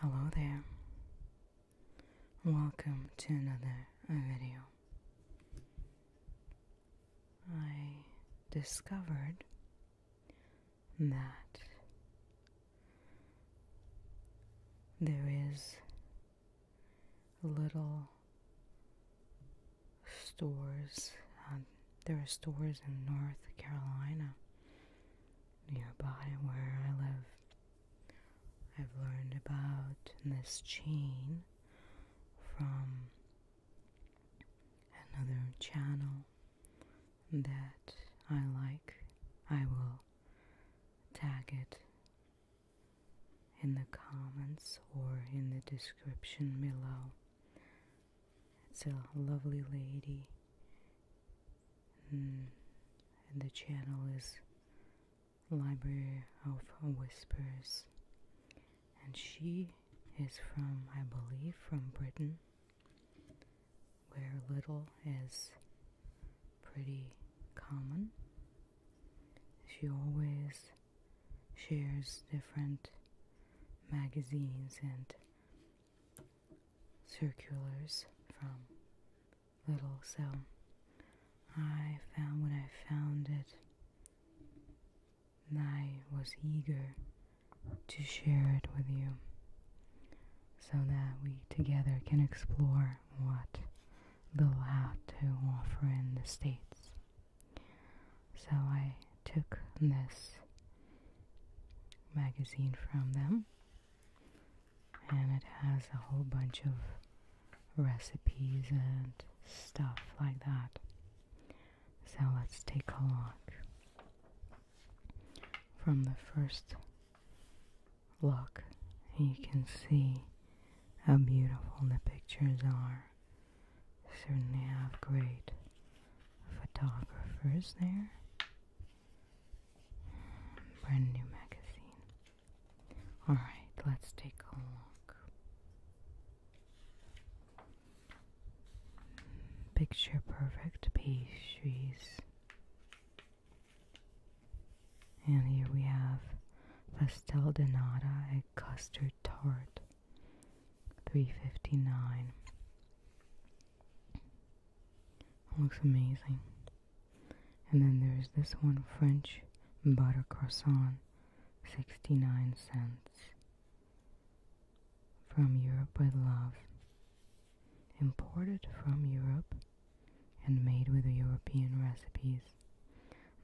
Hello there. Welcome to another uh, video. I discovered that there is little stores um, there are stores in North Carolina nearby where I live. I've learned about this chain from another channel that I like. I will tag it in the comments or in the description below it's a lovely lady, hmm. and the channel is Library of Whispers, and she is from, I believe, from Britain, where little is pretty common. She always shares different magazines and circulars from little Cell. I found when I found it and I was eager to share it with you so that we together can explore what the had to offer in the States. So I took this magazine from them, and it has a whole bunch of recipes and stuff like that. So let's take a look. From the first look, you can see how beautiful the pictures are. Certainly have great photographers there. Brand new magazine. Alright, let's take a look. Picture perfect pastries. And here we have pastel de nata, a custard tart, 359 looks amazing. And then there's this one French butter croissant, 69 cents. From Europe with love. Imported from Europe and made with European recipes.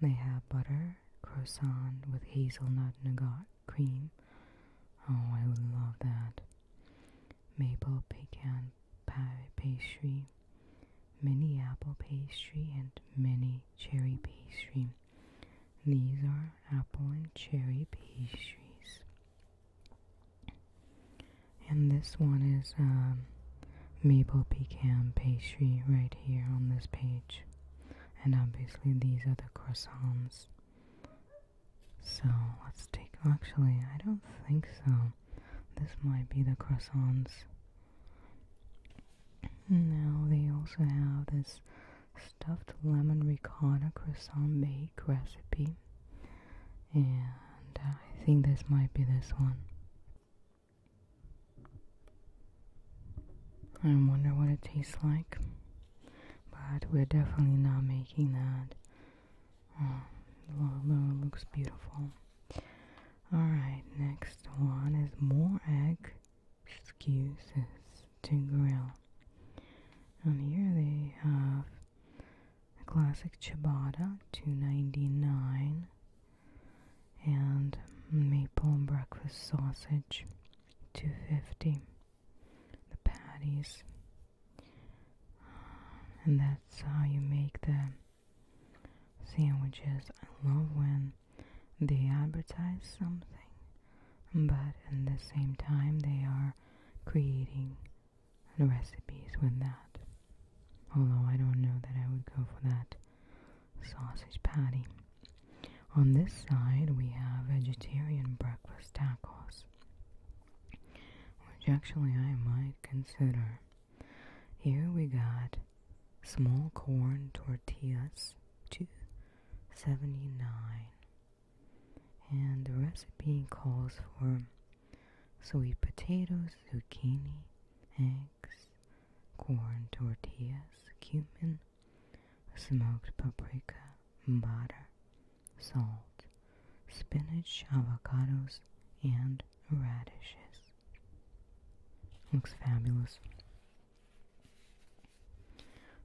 They have butter croissant with hazelnut nougat cream. Oh, I would love that. Maple pecan pie pastry, mini apple pastry, and mini cherry pastry. These are apple and cherry pastries. And this one is um, maple pecan pastry right here on this page. And obviously, these are the croissants. So let's take, actually, I don't think so. This might be the croissants. Now they also have this stuffed lemon ricotta croissant bake recipe. And I think this might be this one. I wonder what it tastes like but we're definitely not making that. Um, oh, it looks beautiful. Alright, next one is more egg excuses to grill. And here they have classic ciabatta, two ninety nine, and maple breakfast sausage, two fifty the patties um, and that's how you make the sandwiches I love when they advertise something but at the same time they are creating recipes with that although I don't know that I would go for that sausage patty on this side, we have vegetarian breakfast tacos, which actually I might consider. Here we got small corn tortillas two seventy nine, and the recipe calls for sweet potatoes, zucchini, eggs, corn tortillas, cumin, smoked paprika, butter, salt, spinach, avocados, and radishes. Looks fabulous.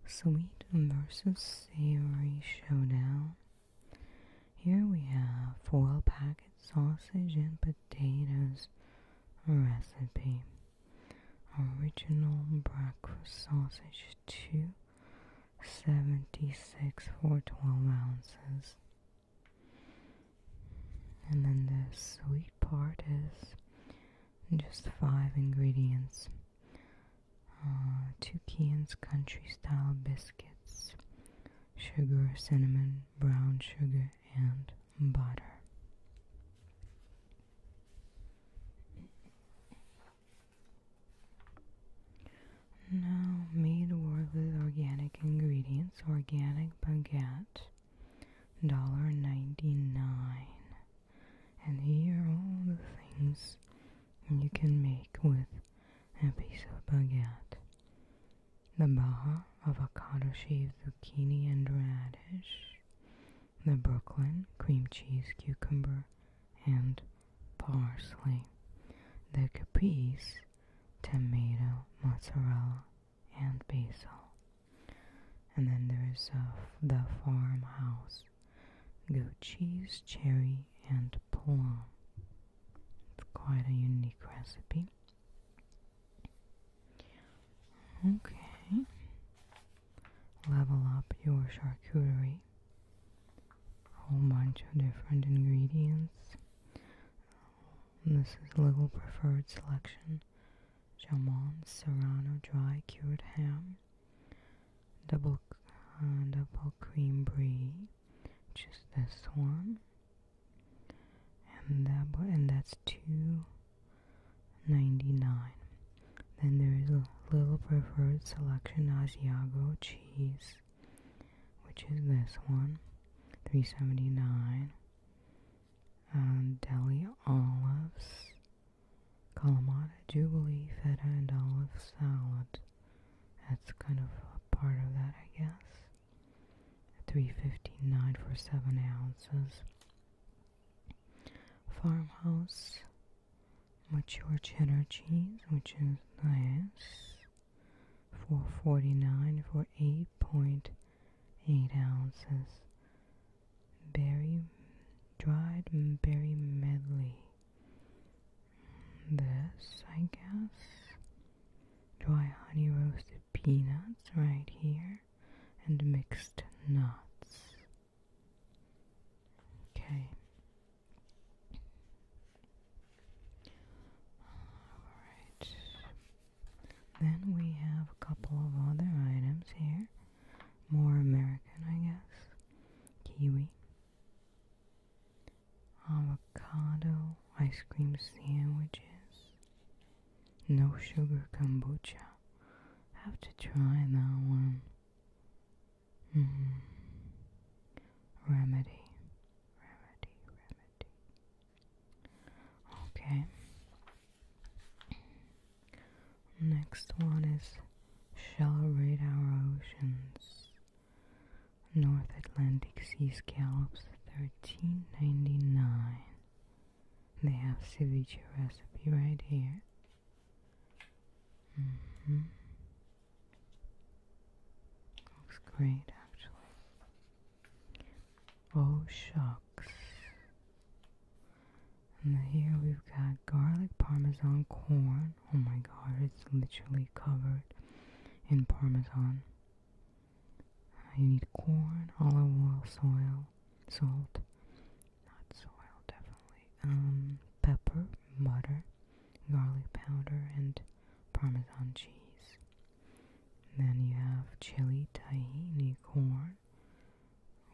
Sweet versus savory showdown. Here we have foil packet sausage and potatoes recipe original breakfast sausage two seventy six for twelve ounces. And then the sweet part is just five ingredients. Uh, two cans country style biscuits, sugar, cinnamon, brown sugar, and butter. Now, made with organic ingredients, organic baguette, $1.99. And here are all the things you can make with a piece of baguette. The baha, avocado shaved zucchini and radish the Brooklyn cream cheese cucumber and parsley, the caprese tomato, mozzarella, and basil. And then there is uh, the farmhouse, goat cheese, cherry, and plum. It's quite a unique recipe. Okay level up your charcuterie. A whole bunch of different ingredients. Um, this is a Little Preferred Selection Jamon Serrano Dry Cured Ham, Double, uh, double Cream Brie, just this one. And that, and that's two 99. Then there is a little preferred selection Asiago cheese, which is this one, 379. Um, deli olives, Kalamata Jubilee feta and olive salad. That's kind of a part of that, I guess. 359 for 7 ounces farmhouse mature cheddar cheese which is nice for 49 for 8.8 ounces berry dried berry medley this I guess dry honey roasted peanuts right here and mixed nuts Okay. Alright. Then we have a couple of other items here. More American, I guess. Kiwi. Avocado ice cream sandwiches. No sugar kombucha have to try that one. -hmm. Remedy, remedy, remedy. Okay. Next one is Shall Raid Our Oceans. North Atlantic Sea Scallops, thirteen ninety nine. They have ceviche recipe right here. Mm-hmm. Looks great, actually. Oh, shucks. And here we've got garlic parmesan corn. Oh my god, it's literally covered in parmesan. Uh, you need corn, olive oil, soil, salt, not soil definitely, um, pepper, butter, garlic powder, and parmesan cheese. And then you have chili tahini corn,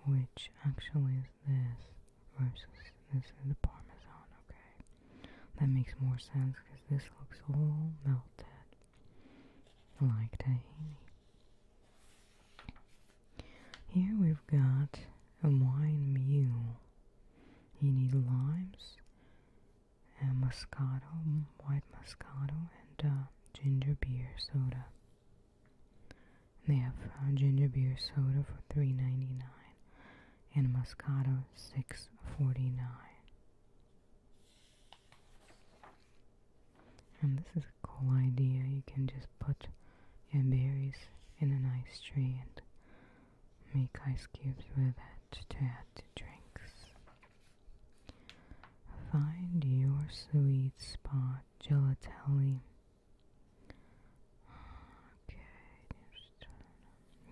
which actually is this versus this is the parmesan, okay? That makes more sense because this looks all melted like tahini. Here we've got a wine mule. You need limes, and moscato, white moscato, and uh, ginger beer soda. they have uh, ginger beer soda for three ninety nine, and moscato six forty nine. And this is a cool idea. You can just put your berries in an ice tray and make ice cubes with it to add to drinks. Find your sweet spot, gelatelli. Okay,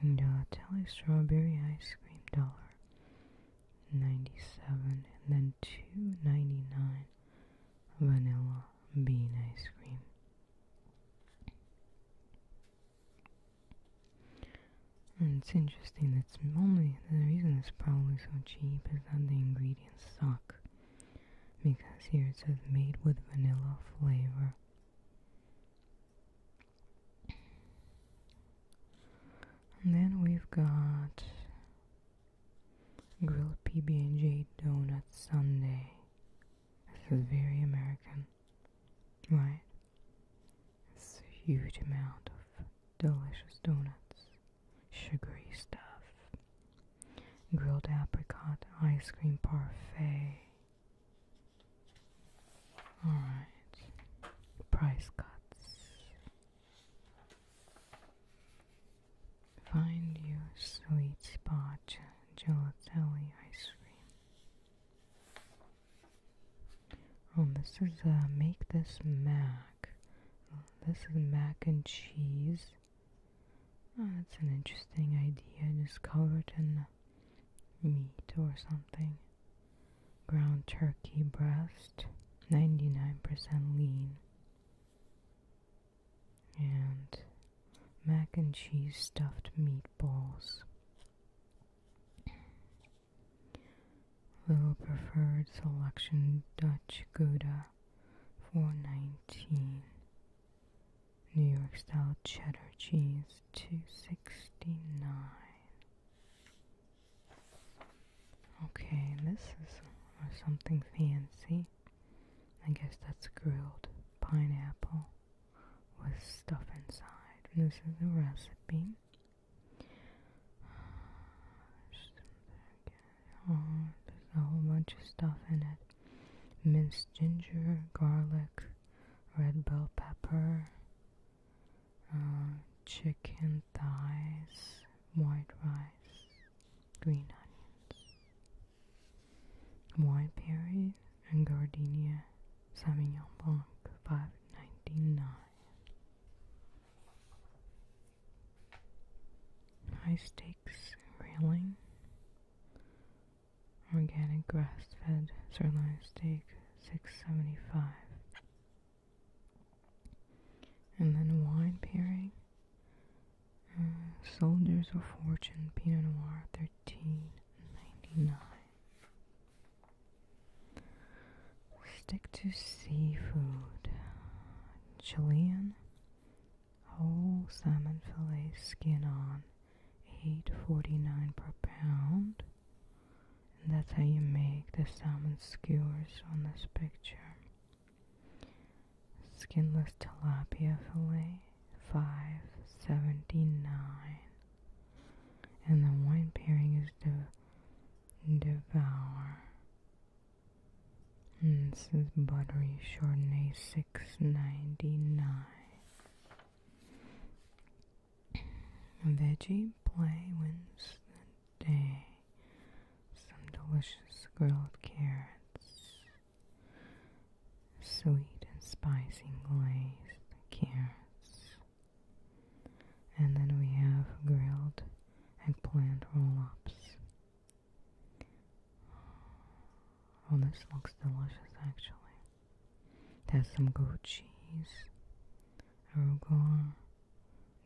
gelatelli strawberry ice cream dollar. 97 and then 2.99 vanilla bean ice cream. it's interesting that's only the reason it's probably so cheap is that the ingredients suck. Because here it says made with vanilla flavor. And then we've got Grilled PB&J donut Sunday. This is very American, right? It's a huge amount of delicious donuts, sugary stuff. Grilled apricot ice cream parfait. Alright, price cuts. Find your sweet spot, gelatelli ice cream. Oh, this is uh, make this mac. This is mac and cheese. Oh, that's an interesting idea. Just covered in meat or something. Ground turkey breast, 99% lean and mac and cheese stuffed meatballs. Little preferred selection Dutch Gouda, four nineteen. New York style cheddar cheese, two sixty nine. Okay, this is uh, something fancy. I guess that's grilled pineapple with stuff inside. And this is the recipe. Oh, there's a whole bunch of stuff in it. Minced ginger, garlic, red bell pepper, uh, chicken thighs, white rice, green onions, white berries, and Gardenia Sauvignon Blanc 599. High stakes railing, organic grass fed sirloin steak 675. And then wine pairing. Uh, Soldiers of Fortune Pinot Noir 1399. Stick to seafood. Chilean whole salmon fillet skin on 8.49 per pound. And that's how you make the salmon skewers on this picture. Skinless tilapia fillet, five seventy nine, and the wine pairing is de- devour. this is buttery Chardonnay, six ninety nine. Veggie play wins day some delicious grilled carrots, sweet and spicy glazed carrots. And then we have grilled eggplant roll ups. Oh, this looks delicious actually. There's some goat cheese, arugula,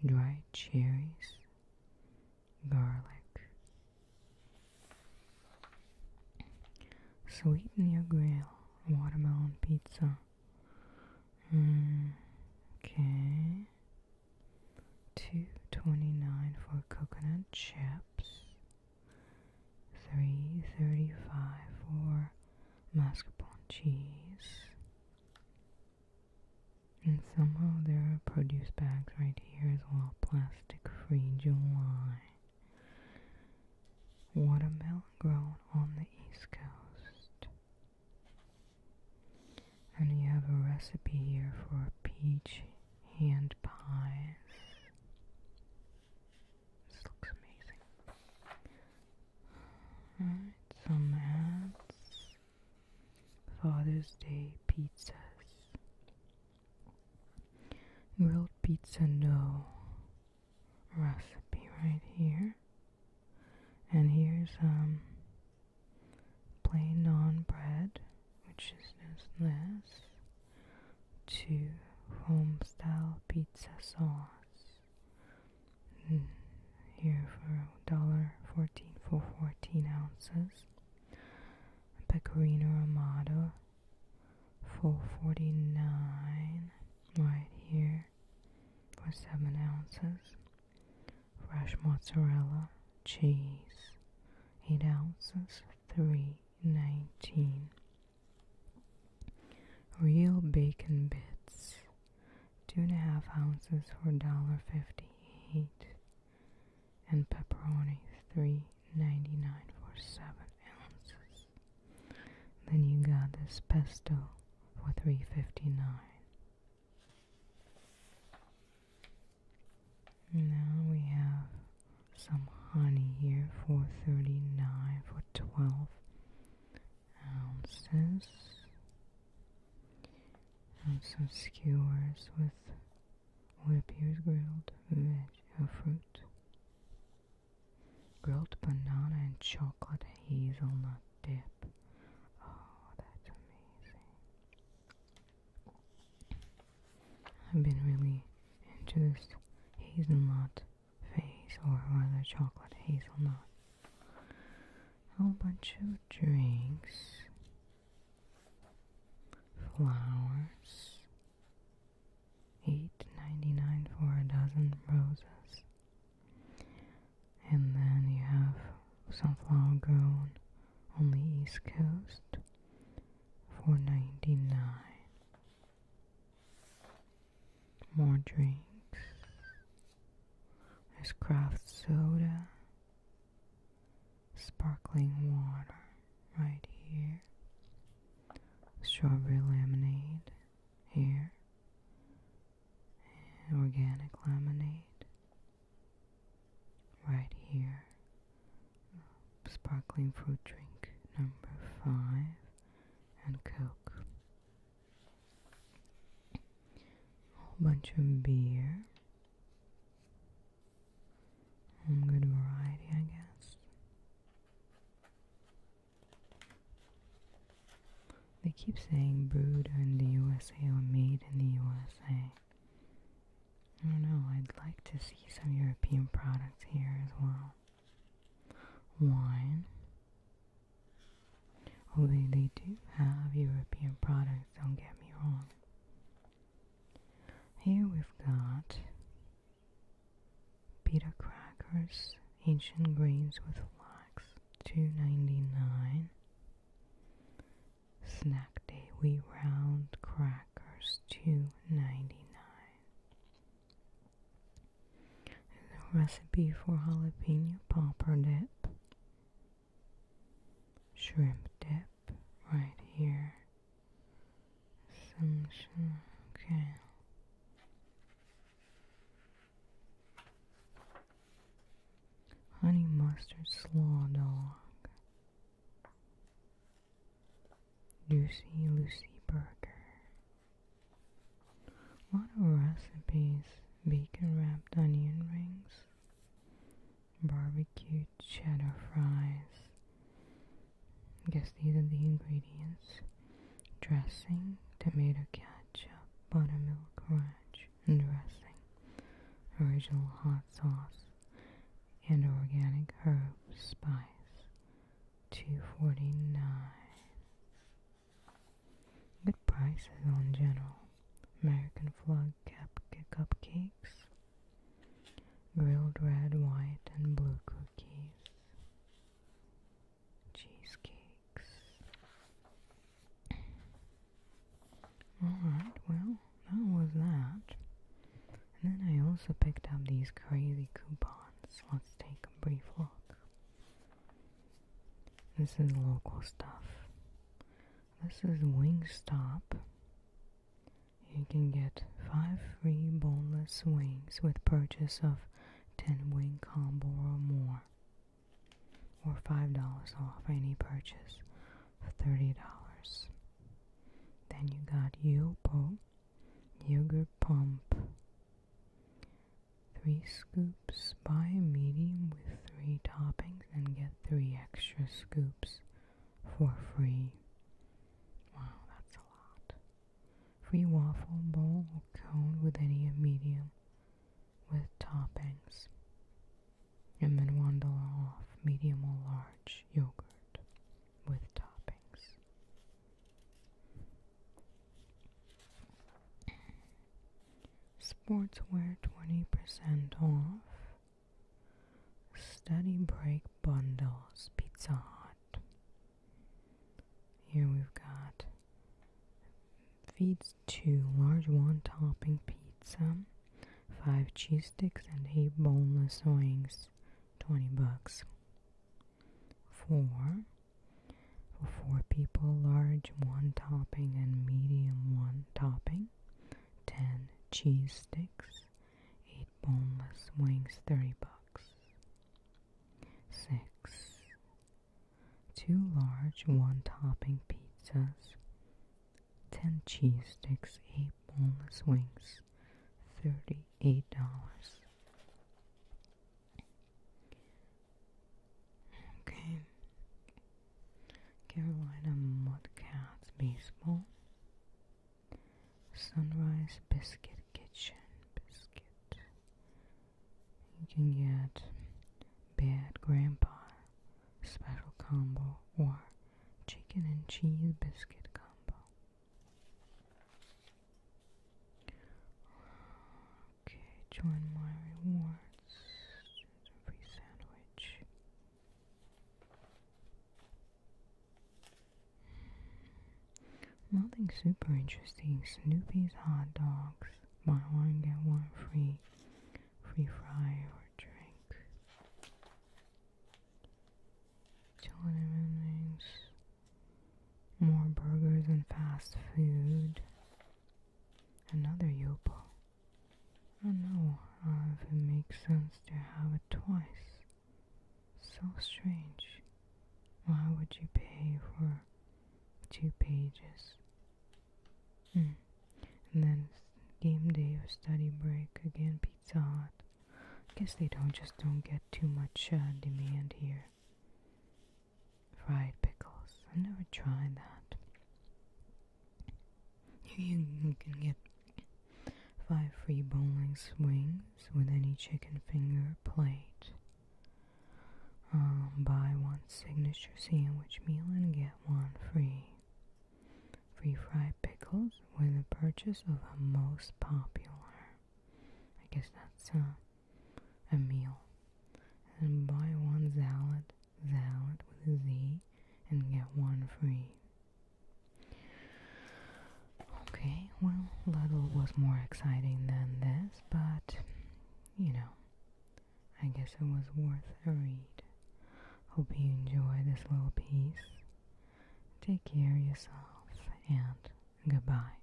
dried cherries, garlic. Sweeten your grill, watermelon pizza. okay. Two twenty nine for coconut chips. Three thirty five for mascarpone cheese. And somehow there are produce bags right here as well. Plastic free July. Watermelon grown on the East Coast. And you have a recipe here for peach hand pies. This looks amazing. Alright, some ads. Father's Day pizzas. Grilled pizza no recipe right here. And here's um plain non bread, which is just this, to home style pizza sauce. Hmm. here for $1.14 for 14 ounces. Pecorino Romano, full 49 right here for 7 ounces. Fresh mozzarella, cheese, 8 ounces, 3.19. Real bacon bits, two and a half ounces for $1.58, and pepperoni $3.99 for seven ounces. Then you got this pesto for $3.59. Now we have some honey here for 39 for 12 ounces and some skewers with what appears grilled veg or fruit. Grilled banana and chocolate hazelnut dip. Oh, that's amazing. I've been really into this hazelnut face, or rather chocolate hazelnut a bunch of drinks, flowers, eight ninety nine for a dozen roses, and then you have some sunflower grown on the east coast for ninety nine. More drinks. There's craft soda, sparkling water right here, strawberry lemonade here, organic lemonade right here, sparkling fruit drink number five, and Coke a bunch of beer. I'm And good variety, I guess. They keep saying brewed in the USA or made in the USA. I don't know, I'd like to see some European products here as well. Wine. Although they do have European products, don't get me wrong. Here we've got pita crackers, ancient grains with flax, two ninety nine. Snack day wheat round crackers, two ninety nine and the recipe for jalapeno popper dip, shrimp dip right here. Some okay. Honey mustard slaw dog. Lucy Lucy burger. A lot recipes, bacon wrapped onion rings, barbecue cheddar fries. I guess these are the ingredients. Dressing, tomato ketchup, buttermilk ranch, dressing. Original hot sauce and organic herb spice. Two forty nine. Good prices on general. American flag cap cupcakes. Grilled red, white, and blue cookies. Cheesecakes. Alright, well, that was that. And then I also picked up these crazy coupons. Let's take a brief look. This is local stuff. This is Wingstop. You can get 5 free boneless wings with purchase of 10 wing combo or more. Or $5 off any purchase for $30. Then you got Yopo, Yogurt Pump, 3 scoops. by medium with 3 toppings and get 3 extra scoops for free. Wow, that's a lot. Free waffle bowl or cone with any medium with toppings. And then $1 off medium or large yogurt with toppings sportswear 20% off, study break bundles, Pizza Hut. Here we've got feeds two large one topping pizza, five cheese sticks, and eight boneless wings, 20 bucks. Four for four people, large one topping and medium one topping. 10 cheese sticks. 8 boneless wings, 30 bucks. 6. Two large one topping pizzas. 10 cheese sticks, 8 boneless wings, $38. Okay. Carolina Mudcats Baseball. Sunrise Biscuit Kitchen Biscuit. You can get Bad Grandpa Special Combo or Chicken and Cheese Biscuit Combo. Okay, join my rewards. free sandwich. Nothing super interesting. Snoopy's hot dogs. Buy one, get one free. Free fry or drink. Chillin' evenings. More burgers and fast food. Another Yopo. I know uh, if it makes sense to have it twice. So strange. Why would you pay for two pages? Mm. then game day or study break again, Pizza Hut. I guess they don't just don't get too much uh, demand here fried pickles. I never tried that. You can get five free bowling swings with any chicken finger plate. Um, buy one signature sandwich meal and get one free. Free fried pickles with the purchase of a most popular. I guess that's uh, a meal. And buy one salad, salad with a Z, and get one free. Okay, well, little was more exciting than this, but you know, I guess it was worth a read. Hope you enjoy this little piece. Take care of yourself and goodbye.